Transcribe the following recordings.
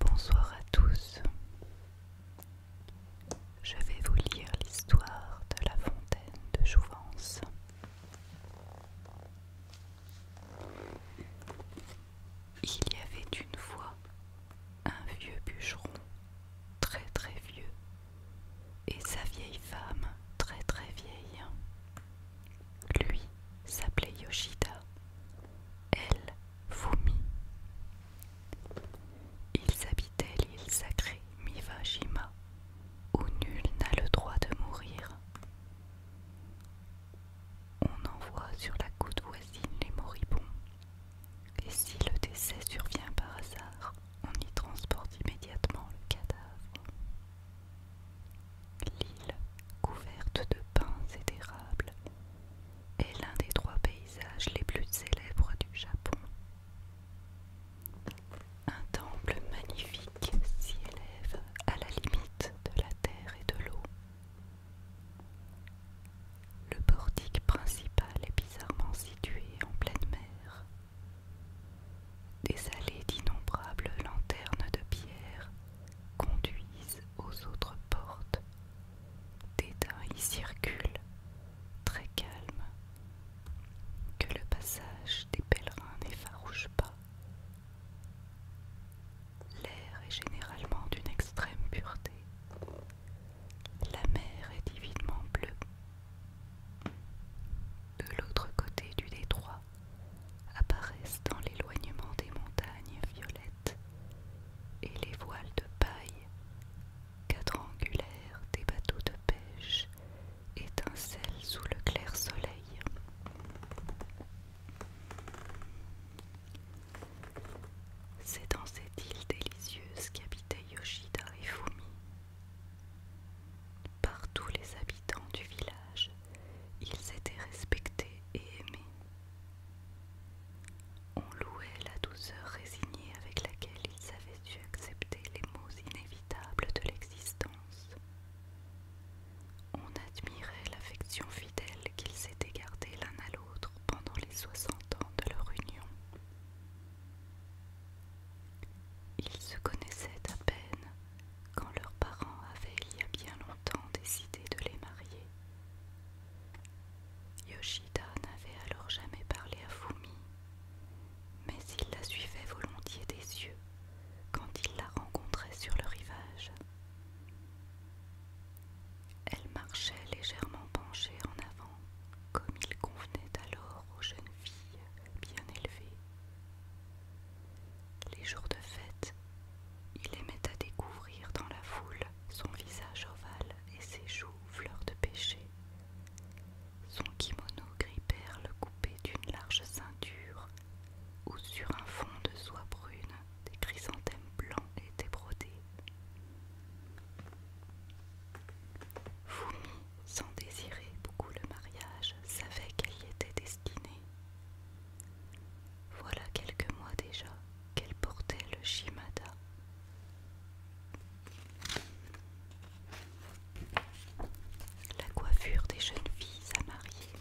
Bonsoir à tous. Je vais vous lire l'histoire de la fontaine de Jouvence. Il y avait une fois un vieux bûcheron, très très vieux, et sa vieille femme, très très vieille. Lui s'appelait Yoshida, elle Fumi. Ils habitaient l'île sacrée Mivajima, où nul n'a le droit de mourir, on envoie sur la côte voisine les moribonds, et si le décès survient par hasard, on y transporte immédiatement le cadavre. L'île, couverte de pins et d'érables, est l'un des trois paysages les plus célèbres du Japon. Un temple magnifique s'y élève à la limite de la terre et de l'eau, le portique principal est bizarrement situé en pleine mer. Des allées d'innombrables lanternes de pierre conduisent aux autres portes. Des daims y circulent, très calmes, que le passage des pèlerins n'effarouche pas L'air est généralement d'une extrême pureté. La mer est divinement bleue. De l'autre côté du détroit apparaissent dans l'éloignement des montagnes violettes et les voiles de paille quadrangulaires des bateaux de pêche étincellent sous le clair soleil. C'est dans cette île délicieuse qu'habitaient Yoshida et Fumi. Par tous les habitants du village, ils étaient respectés et aimés. On louait la douceur résignée avec laquelle ils avaient dû accepter les maux inévitables de l'existence. On admirait l'affection fidèle qu'ils s'étaient gardés l'un à l'autre pendant les soixante ans de leur union. Ils se connaissaient à peine quand leurs parents avaient il y a bien longtemps décidé de les marier. Yoshida n'avait alors jamais parlé à Fumi, mais il la suivait volontiers des yeux quand il la rencontrait sur le rivage. Elle marchait légèrement penchée en avant, comme il convenait alors aux jeunes filles bien élevées. Les jours de fête, il aimait à découvrir dans la foule son visage ovale et ses joues fleurs de pêcher. Son kimono gris perle coupé d'une large ceinture, ou sur un fond de soie brune, des chrysanthèmes blancs étaient brodés. Fumi, sans désirer beaucoup le mariage, savait qu'elle y était destinée. Voilà quelques mois déjà qu'elle portait le shimada. La coiffure des jeunes filles à marier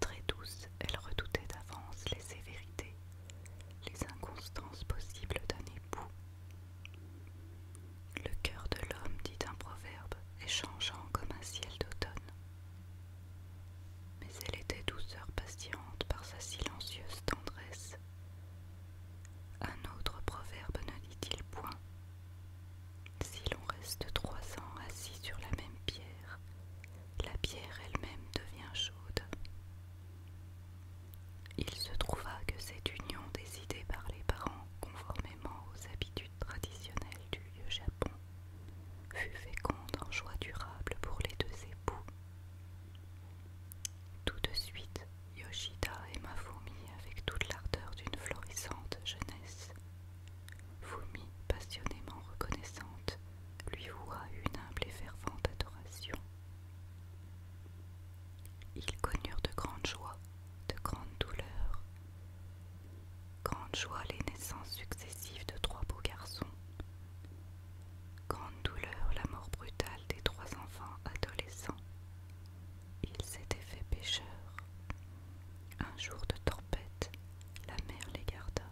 Très douce, elle redoutait d'avance les sévérités, les inconstances possibles d'un époux. Le cœur de l'homme, dit un proverbe, est changeant comme un ciel d'automne. Mais elle était douceur patiente par sa silencieuse tendresse. Un autre proverbe ne dit-il point si l'on reste trois ans assis sur la même pierre, la pierre elle-même devient chaude. Il se trouva que cette union décidée par les parents conformément aux habitudes traditionnelles du lieu Japon fut féconde en joie durable pour les deux époux. Tout de suite, Yoshida et Mafumi avec toute l'ardeur d'une florissante jeunesse, Fumi, passionnément reconnaissante, lui voua une humble et fervente adoration. Ils connurent de grandes joies, de grandes douleurs. Grande joie les naissances successives de trois beaux garçons. Grande douleur la mort brutale des trois enfants adolescents ils s'étaient fait pêcheurs. Un jour de tempête, la mer les garda.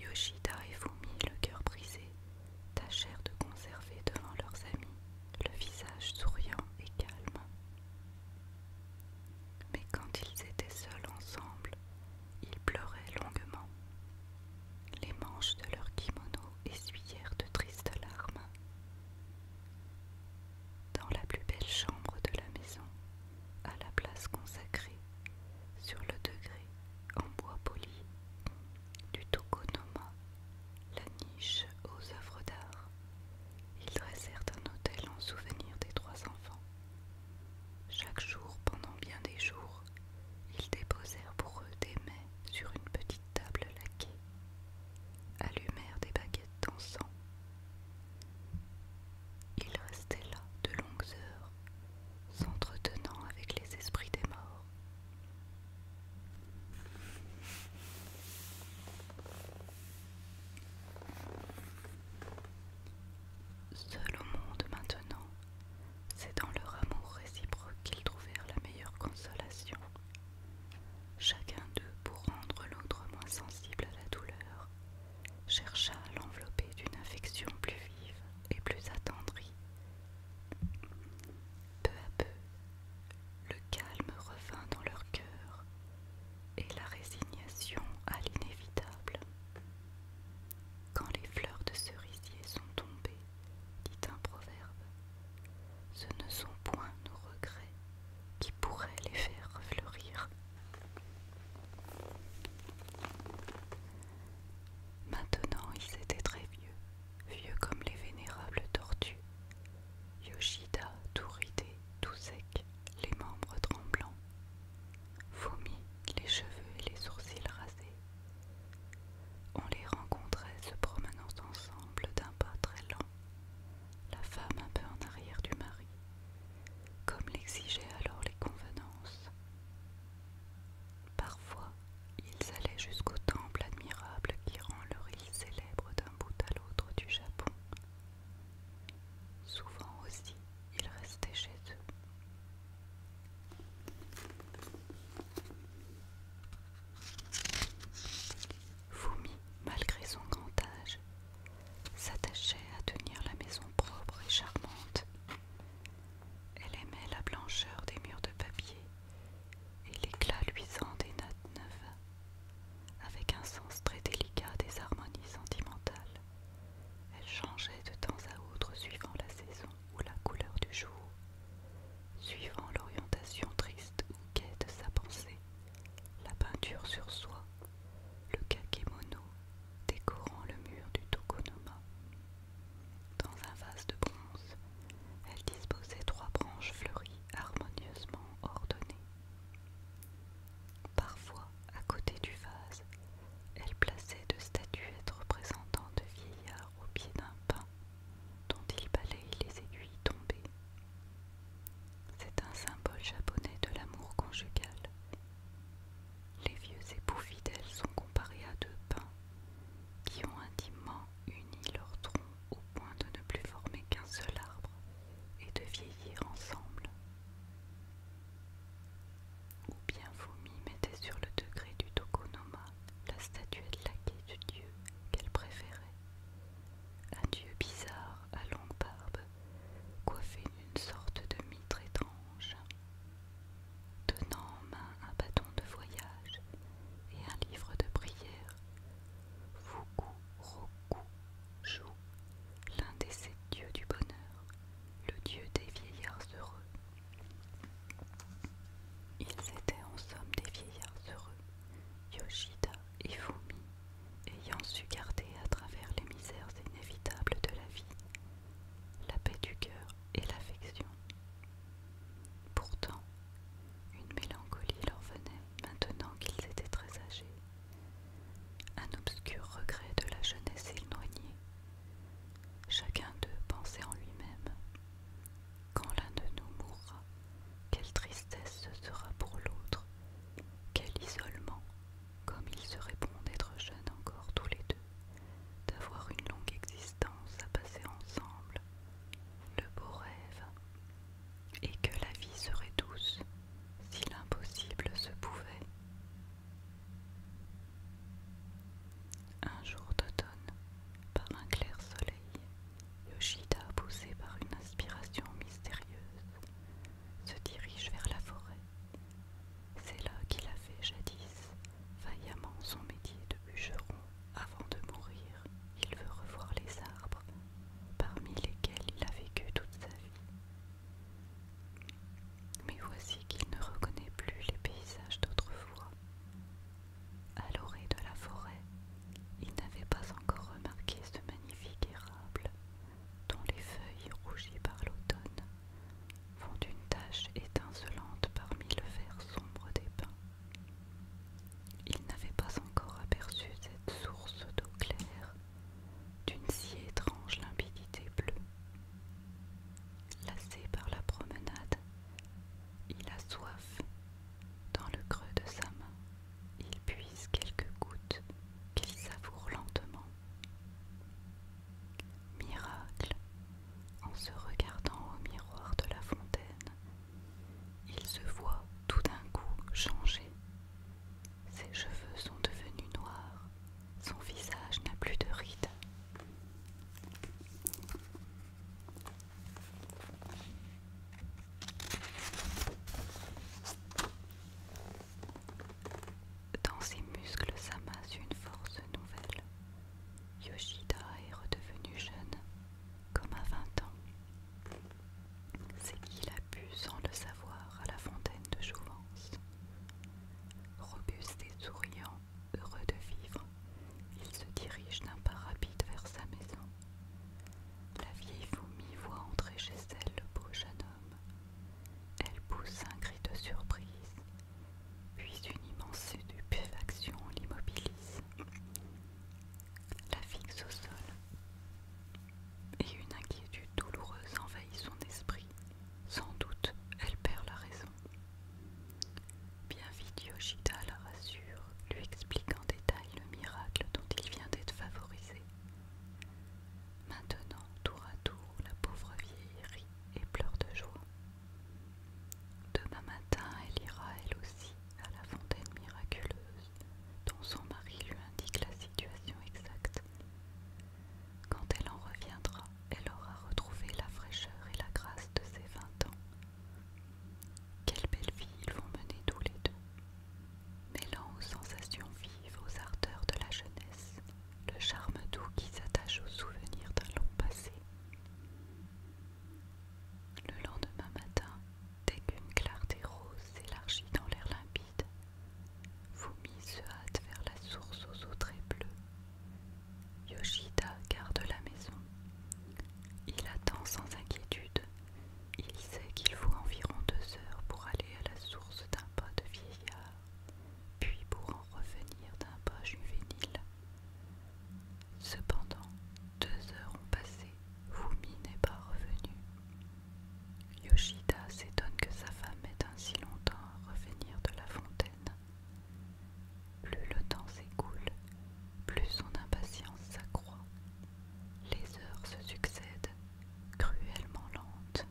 Yoshida et Fumi, le cœur brisé, tâchèrent de conserver devant leurs amis le visage souriant et calme. Mais quand ils étaient seuls ensemble, ils pleuraient longuement. Les manches de leurs kimono essuyèrent de tristes larmes. Dans la plus belle chambre de la maison, à la place consacrée, sur le degré, en bois poli, du Tokonoma, la niche aux œuvres d'art, ils dressèrent un autel en souvenir des trois enfants. Chaque jour, pendant bien des jours, ils déposèrent pour eux des mets sur une petite table laquée, allumèrent des baguettes d'encens, il restait là de longues heures, s'entretenant avec les esprits des morts. Seuls au monde maintenant, c'est dans leur amour réciproque qu'ils trouvèrent la meilleure consolation. Chacun d'eux, pour rendre l'autre moins sensible à la douleur, chercha à l'envelopper d'une affection plus vive et plus attendrie. Peu à peu, le calme revint dans leur cœur et la résignation à l'inévitable. Quand les fleurs de cerisier sont tombées, dit un proverbe, ce ne sont point nos regrets, qui pourrait les faire fleurir. Maintenant ils étaient très vieux, vieux comme les vénérables tortues. Yoshida, tout ridé, tout sec, les membres tremblants. Fumi, les cheveux et les sourcils rasés. On les rencontrait se promenant ensemble d'un pas très lent, la femme un peu en arrière du mari, comme l'exigeaient alors les convenances. Parfois, ils allaient jusqu'au temple admirable qui rend leur île célèbre d'un bout à l'autre du Japon. Souvent aussi, ils restaient chez eux. Fumi, malgré son grand âge, s'attachait à tenir la maison propre et charmante. Elle aimait la blancheur des murs de papier et l'éclat luisant des notes neuves. Avec un sens très délicat des harmonies sentimentales, elle changeait de temps à autre suivant la saison ou la couleur du jour, suivant l'orientation triste ou gaie de sa pensée, la peinture sur soi le kakemono décorant le mur du Tokonoma. Dans un vase de bronze, elle disposait trois branches fleuries harmonieusement ordonnées. Parfois, à côté du vase, elle plaçait deux statuettes représentant de vieillards au pied d'un pin dont il balaye les aiguilles tombées. C'est un symbole japonais de l'amour conjugal. Les vieux époux fidèles sont comparés à deux pins qui ont intimement uni leurs troncs au point de ne plus former qu'un seul arbre et de vieillir ensemble. Ou bien Fumi mettait sur le degré du Tokonoma la statuette laquée du dieu qu'elle préférait, un dieu bizarre à longue barbe, coiffé d'une sorte de mitre étrange, tenant en main un bâton de voyage et un livre de prière. Fuku Roku Jou, l'un des sept dieux du bonheur, le dieu des vieillards heureux. Ils étaient en somme des vieillards heureux, Yoshida et Fumi, ayant su garder à travers les misères inévitables de la vie la paix du cœur et l'affection. Pourtant, une mélancolie leur venait maintenant qu'ils étaient très âgés, un obscur regret de la jeunesse éloignée. Chacun d'eux pensait en lui-même. Quand l'un de nous mourra, quelle tristesse ce sera pour l'autre, quel isolement comme ils serait bon d'être jeunes encore tous les deux, d'avoir une longue existence à passer ensemble, le beau rêve, et que la vie serait douce si l'impossible se pouvait. Un jour d'automne, par un clair soleil, Yoshida, poussé par une inspiration mystérieuse, se dirige vers la forêt. C'est là qu'il a fait jadis vaillamment son métier de bûcheron. Avant de mourir, il veut revoir les arbres parmi lesquels il a vécu toute sa vie. Mais voici qu'il ne reconnaît plus les paysages d'autrefois. À l'orée de la forêt, il n'avait pas encore remarqué ce magnifique érable dont les feuilles rougies par l'automne font une tache étincelante parmi le vert sombre des pins. Il n'avait pas encore aperçu cette source d'eau claire, d'une si étrange limpidité bleue. Lassé par la promenade, il a soif dans le creux de sa main il puise quelques gouttes qu'il savoure lentement. Miracle, en se regardant au miroir de la fontaine, il se voit tout d'un coup changer. Ses cheveux sont devenus noirs, son visage n'a plus de rides. Dans ses muscles s'amasse une force nouvelle. Yoshida est redevenu jeune, comme à 20 ans. C'est qu'il a bu sans le savoir à la fontaine de Jouvence. Robuste et souriant, heureux de vivre, il se dirige d'un pas rapide vers sa maison. La vieille fourmi voit entrer chez elle le beau jeune homme. Elle pousse un cri de surprise, puis une immense stupéfaction l'immobilise, la fixe au sol, et une inquiétude douloureuse envahit son esprit. Sans doute, elle perd la raison. Bien vite, Yoshida la rassure, lui explique en détail le miracle dont il vient d'être favorisé. Maintenant, tour à tour, la pauvre vieille rit et pleure de joie. Demain matin, elle ira elle aussi à la fontaine miraculeuse dont son mari lui indique la situation exacte. Quand elle en reviendra, elle aura retrouvé la fraîcheur et la grâce de ses vingt ans. Quelle belle vie ils vont mener tous les deux mêlant aux sensations vives, aux ardeurs de la jeunesse, le charme doux qui s'attache aux souvenirs d'un long passé. Le lendemain matin, dès qu'une clarté rose s'élargit dans l'air limpide, Fumi se hâte vers la source aux eaux très bleues. Yoshida garde la maison. Il attend sans inquiétude. Il sait qu'il faut environ deux heures pour aller à la source d'un pas de vie puis pour en revenir d'un pas juvénile. Cependant, deux heures ont passé, Fumi n'est pas revenu. Yoshida s'étonne que sa femme ait ainsi longtemps à revenir de la fontaine. Plus le temps s'écoule, plus son impatience s'accroît. Les heures se succèdent, cruellement lentes,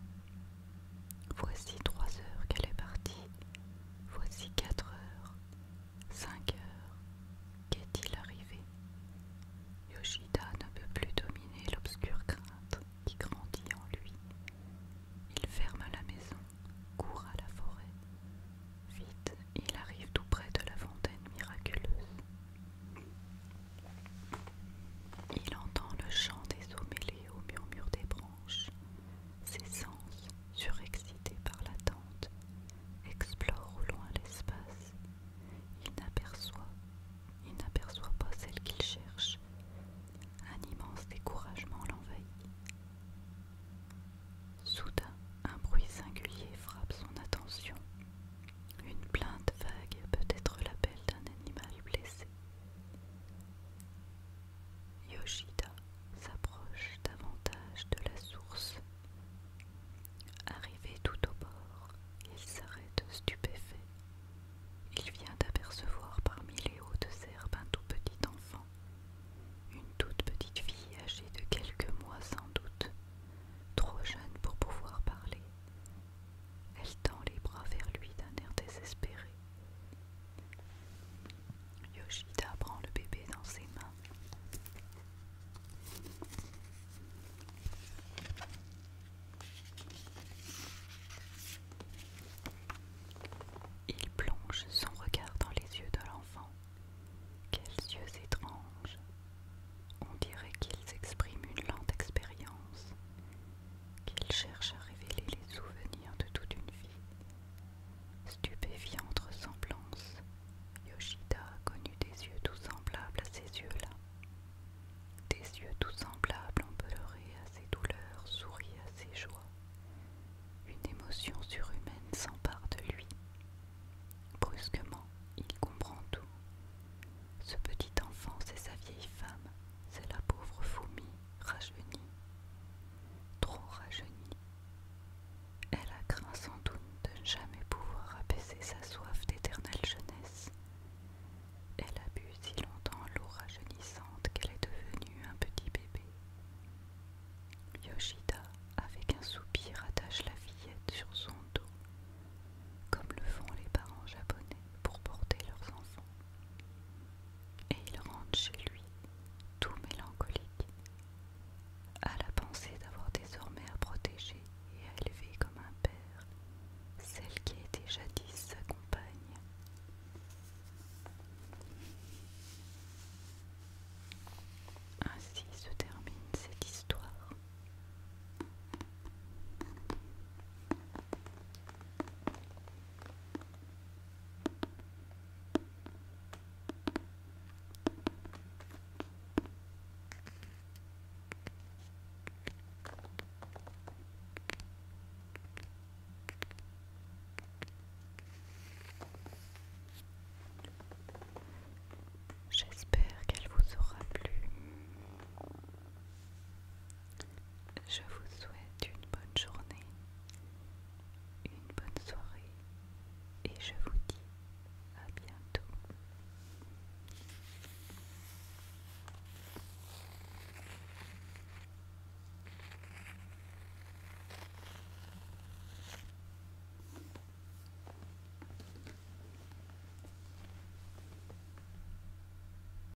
Voici trois heures qu'elle est partie. Voici quatre heures. Cinq heures. Qu'est-il arrivé Yoshida ne peut plus dominer l'obscure crainte qui grandit en lui. Il ferme la maison, court à la forêt. Vite, il arrive tout près de la fontaine miraculeuse. Il entend le chant des eaux mêlées au murmure des branches. Ses sens, surexcités par l'attente, explorent au loin l'espace. Il n'aperçoit, il n'aperçoit pas celle qu'il cherche. Un immense découragement l'envahit. Soudain, un bruit singulier frappe son attention. Une plainte vague, peut-être l'appel d'un animal blessé. Yoshida s'approche davantage de la source. Arrivé tout au bord, il s'arrête stupéfait. Il vient d'apercevoir parmi les hautes herbes un tout petit enfant, une toute petite fille âgée de quelques mois sans doute, trop jeune pour pouvoir parler, elle tend les bras vers lui d'un air désespéré. Yoshida prend le bébé dans ses mains. Il plonge son regard dans les yeux de l'enfant. Quels yeux étranges. On dirait qu'ils expriment une lente expérience, qu'il cherche à révéler les souvenirs de toute une vie. Stupéfiante ressemblance, Yoshida a connu des yeux tout semblables à ces yeux-là. Des yeux tout semblables empelerés à ses douleurs, souris à ses joies. Une émotion surhumaine s'empare de lui. Brusquement, il comprend tout. Ce petit enfant, c'est sa vieille femme, c'est la pauvre Fumi, rajeunie, trop rajeunie. Elle a craint sans doute de ne jamais pouvoir apaiser sa soif d'éternelle jeunesse. Elle a bu si longtemps l'eau rajeunissante qu'elle est devenue un petit bébé. Yoshida, avec un soupir, attache la fillette sur son dos, comme le font les parents japonais pour porter leurs enfants. Et il rentre chez lui, tout mélancolique, à la pensée d'avoir désormais à protéger et à élever comme un père celle qui était jadis sa compagne. Ainsi se termine cette histoire. J'espère qu'elle vous aura plu. Je vous souhaite une bonne journée, une bonne soirée et je vous dis à bientôt.